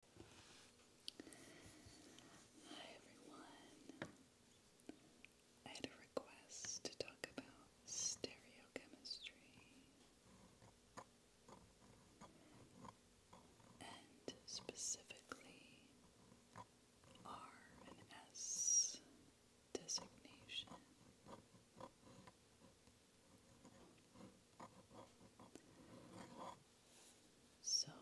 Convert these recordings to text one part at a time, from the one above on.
Hi everyone. I had a request to talk about stereochemistry and specifically R and S designation. So,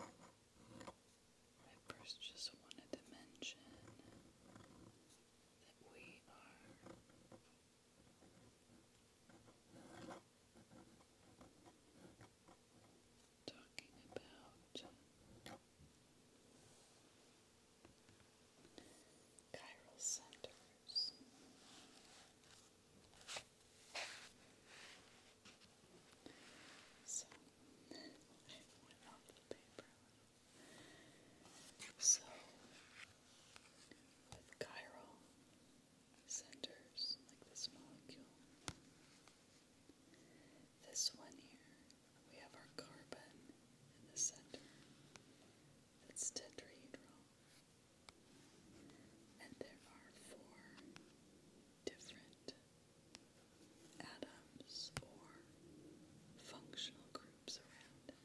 I first just wanted to mention that we are. Talking about chiral centers, so I went the paper So with chiral centers like this molecule. This one here, we have our carbon in the center. It's tetrahedral and there are four different atoms or functional groups around it.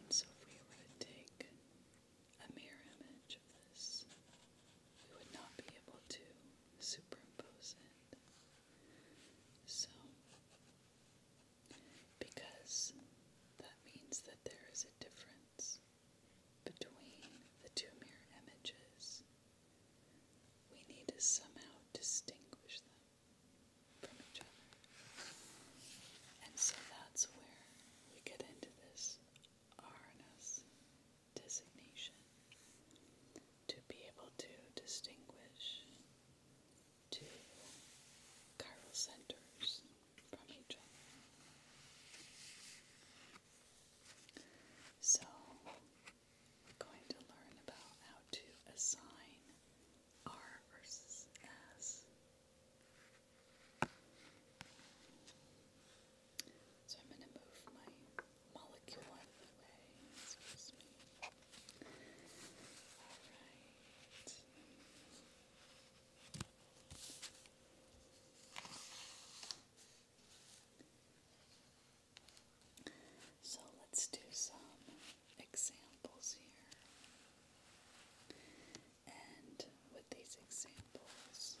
And so if we were to take a mirror image of this, we would not be able to superimpose it. So because that means that there is a difference between the two mirror images. We need to somehow distinguish them from each other. And so that's where we get into this RNS designation to be able to distinguish to chiral centers from each other. So, we're going to learn about how to assign R versus S. So, I'm going to move my molecule out of the way. So let's do some examples here. And with these examples,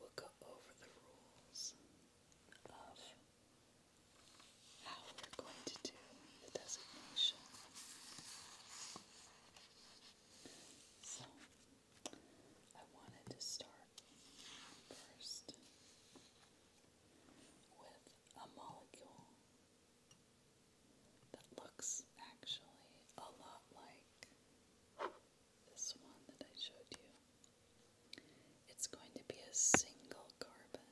we'll go over the rules of how we're going to do the designation. So, I wanted to start first with a molecule that looks actually a lot like this one that I showed you. It's going to be a single carbon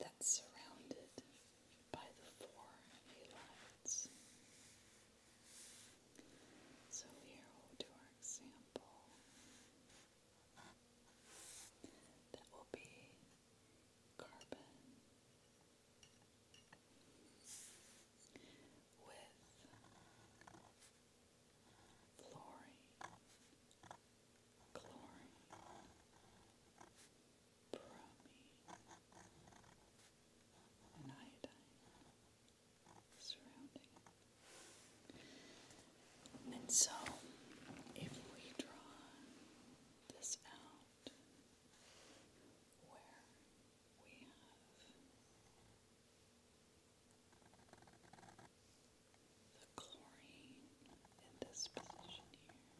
that's surrounded by the four halides. So here we our example. That will be carbon with fluorine glory, bromine, and iodine surrounding And so, if we draw this out, where we have the chlorine in this position here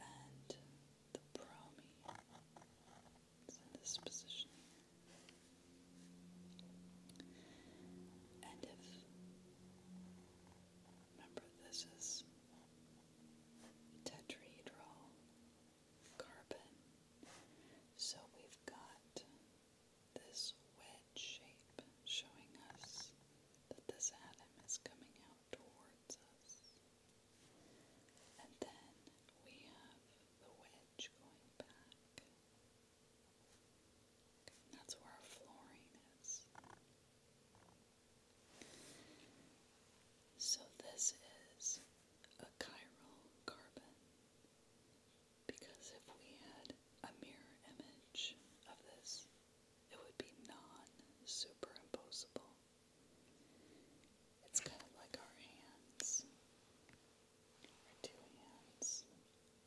and the bromine is in this position And if remember this is tetrahedral carbon. So we've got this wedge shape showing us that this atom is coming out towards us. And then we have the wedge going back. that's where our fluorine is. So this is a chiral carbon. Because if we had a mirror image of this, it would be non superimposable. It's kind of like our hands. Our two hands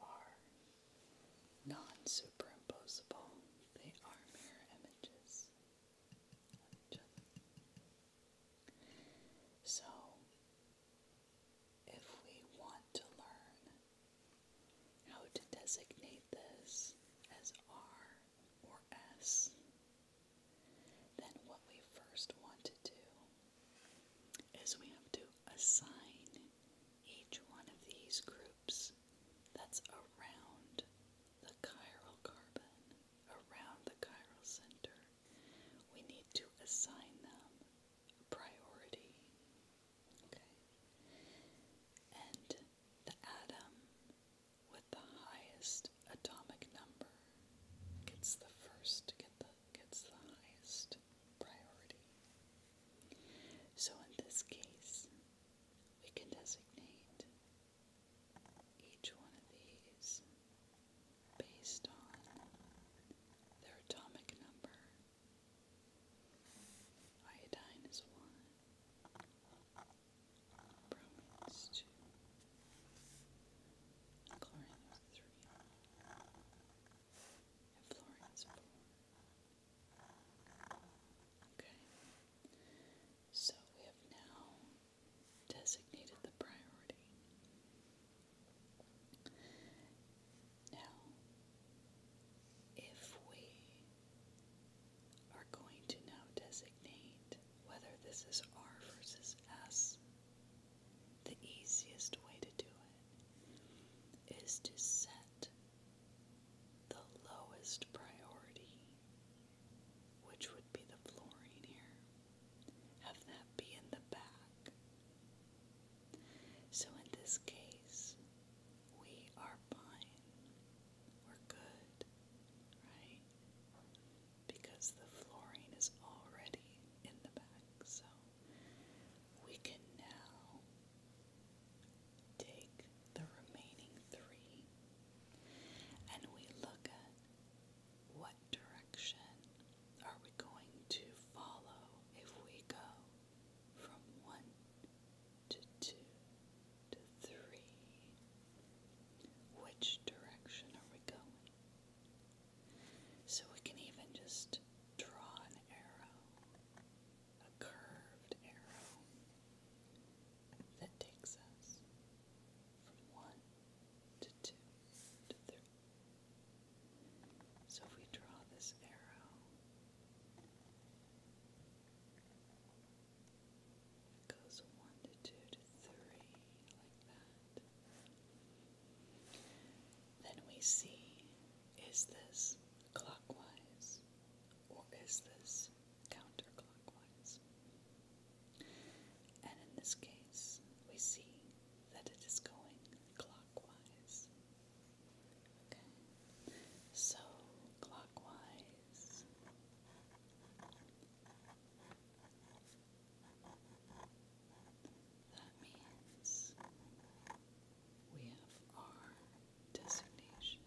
are non superimposable, they are mirror images So, if we want to learn how to designate this as R or S, then what we first want to do is we have to assign each one of these groups that's around the chiral carbon, around the chiral center. We need to assign them priority. Okay? And the atom with the highest atomic number gets the first, get the, gets the highest priority. So in this case, we can designate each one of these based on their atomic number. Iodine is one, bromine is two, chlorine is three, and fluorine is four. Okay, so we have now designated the priority now, if we are going to now designate whether this is R versus S, the easiest way to do it is to set the lowest priority, which would be the fluorine here, have that be in the back so in this case, we are fine. We're good, right? Because the fluorine is already in the back, so we can now take the remaining three and we look at what direction are we going to follow if we go from one to two to three? Which direction are we going? So we can even just draw an arrow, a curved arrow that takes us from one to two to three. So if we draw this arrow, it goes one to two to three, like that. Then we see is this clockwise or is this counterclockwise? And in this case, we see that it is going clockwise. Okay, so clockwise. That means we have our designation.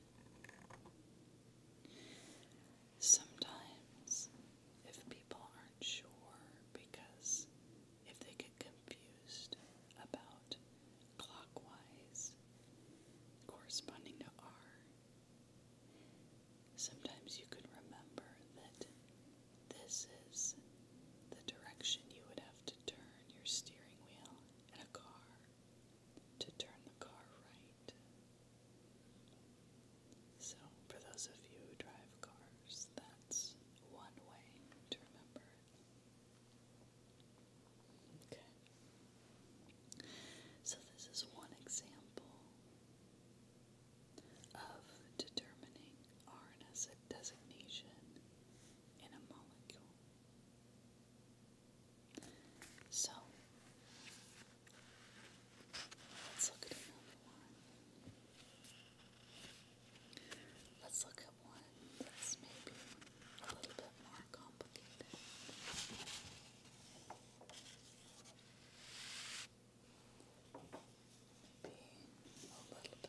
Sometimes, if people are sure because if they get confused about clockwise corresponding to R, sometimes you can remember that this is the direction you would have to turn your steering wheel in a car to turn the car right. So, for those of you who drive cars, that's one way to remember it. Okay. So, this is one example of determining RNS designation in a molecule. So, Let's look at another one. Let's look at one that's maybe a little bit more complicated. Being a little bit harder to figure out. Okay.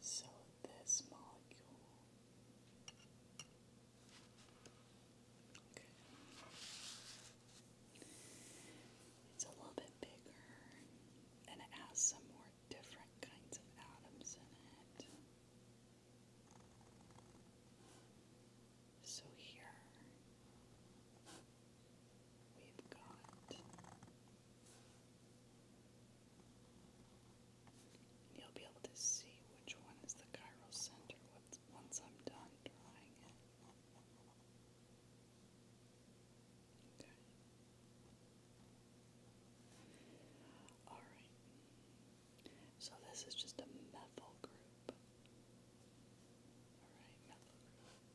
So this molecule. It's a little bit bigger and it has some more different kinds of atoms in it. So here you'll be able to see which one is the chiral center once I'm done drawing it. Okay. All right. So this is just a methyl group. All right, methyl group.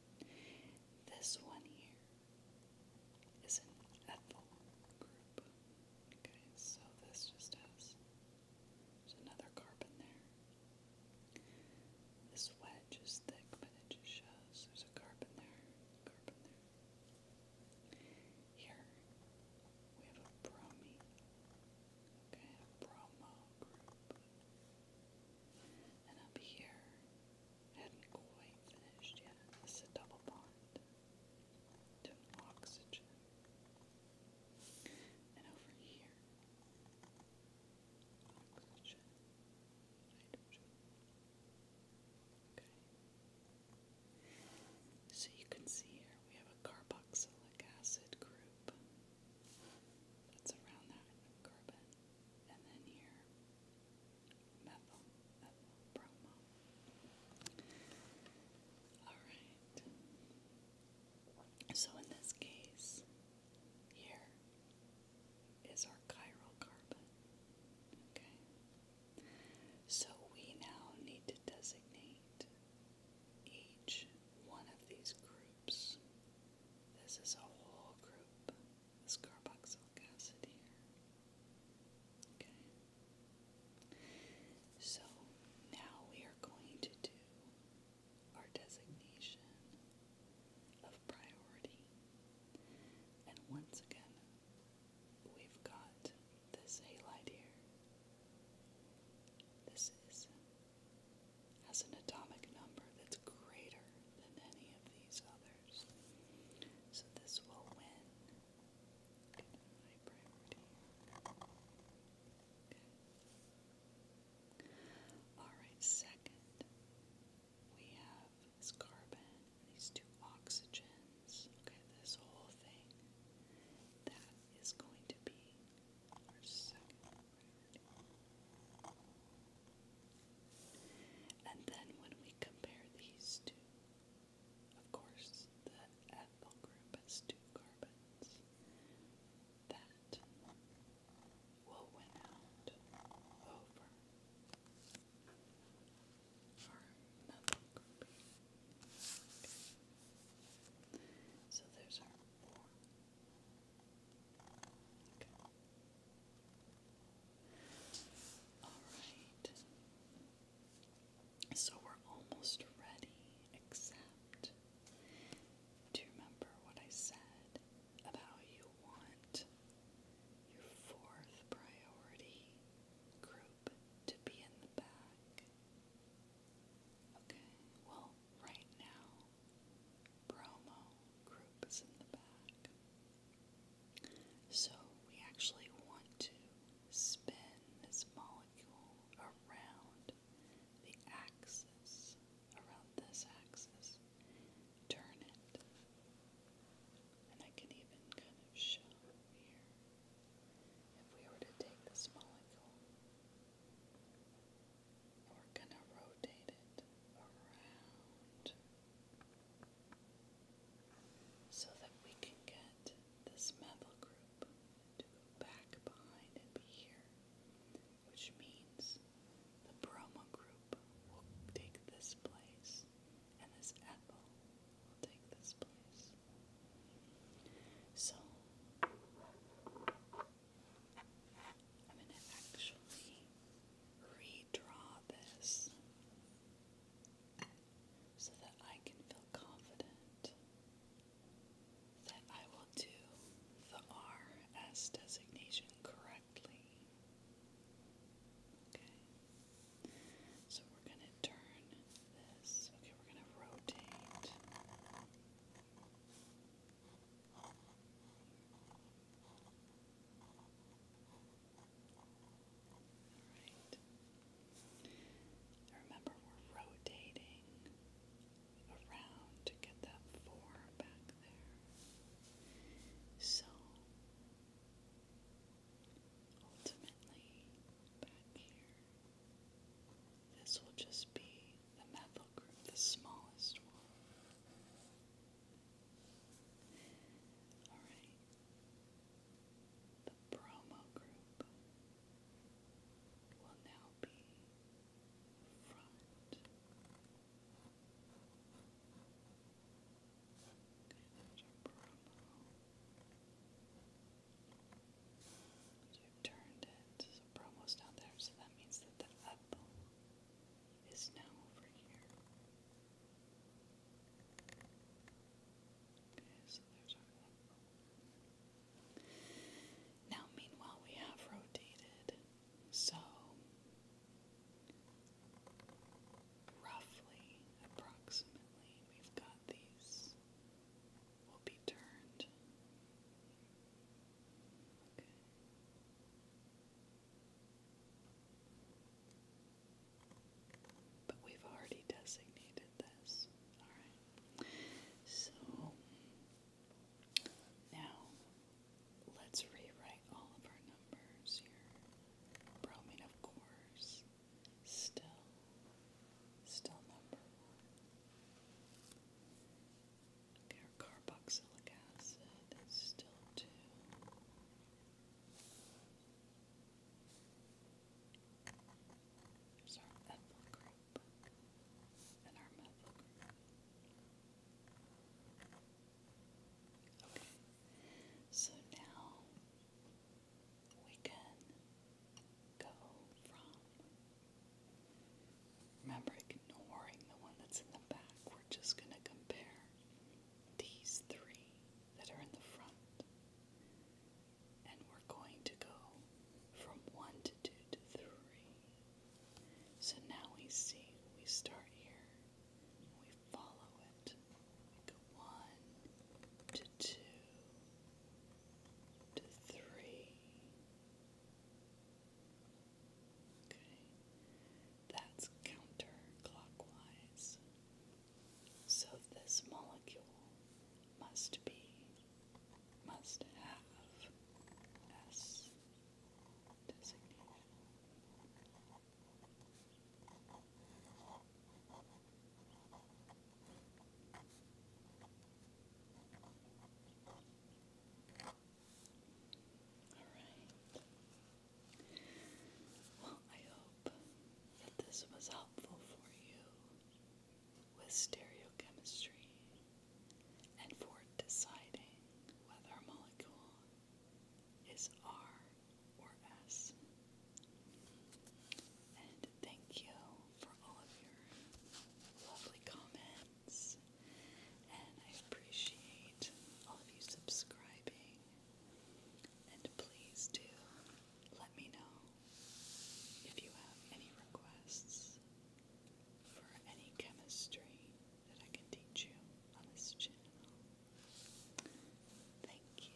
This one here is an ethyl group. Okay, so this just has another carbon there. This wedge is thick, but it just shows there's a carbon there, carbon there. Here we have a bromine. Okay, a bromo group. And up here, hadn't quite finished yet. This is a double bond oxygen. And over here, oxygen, Okay. So you can see here we have a carboxylic acid group that's around that carbon. And then here, methyl, methyl, bromo. Alright. So in this case, here is our chiral carbon. Okay. So we now need to designate each one of these groups groups. This is a whole group, this carboxyl acid here. Okay. So now we are going to do our designation of priority. And once again, we've got this halide here. This is has an atomic number that's greater than any of these others. So this will win. Alright, second, we have this carbon, these two oxygens. Okay, this whole thing. That is going to be our second and then when we compare these two, of course, the ethyl group has two carbons. That will win out over our methyl group. So there's our four Alright. So we're almost ready, except do you remember what I said about you want your fourth priority group to be in the back? Okay, well, right now promo groups in the back. So we actually want to spin this molecule around the axis, around this axis, turn it, and I can even kind of show here if we were to take this molecule. We're going to rotate it around so that we can get this methyl group to go back behind and be here, which means the bromo group will take this place and this ethyl will take this place. So I'm going to actually redraw this so that I can feel confident that I will do the R designation correctly. Okay. So we're going to turn this. Okay, we're going to rotate. Remember we're rotating around to get that four back there. So ultimately back here. This will just be the methyl group, the smallest one. Alright. The bromo group will now be front. Okay, there's our I've turned it, so Bromo's down there, so that means that the up is now over here. Okay, so there's our up. Now, meanwhile, we have rotated, so roughly, approximately, we've got these will be turned but we've already designated this. Alright. So now let's rewrite all of our numbers here. Bromine, of course, still, still number our carboxylic acid is still two. There's our ethyl group and our methyl group. Okay, so now we can go from Remember, ignoring the one that's in the back, we're just going to compare these three that are in the front. And we're going to go from 1 to 2 to 3. So now we see, we start here, we follow it, we 1 to 2 to 3 Okay. That's counterclockwise. So this molecule must be, must have S designation. Well, I hope that this was helpful for you with stereochemistry and for deciding whether a molecule is R or S. Thank you for all of your lovely comments, and I appreciate all of you subscribing. And please do let me know if you have any requests for any chemistry that I can teach you on this channel. Thank you.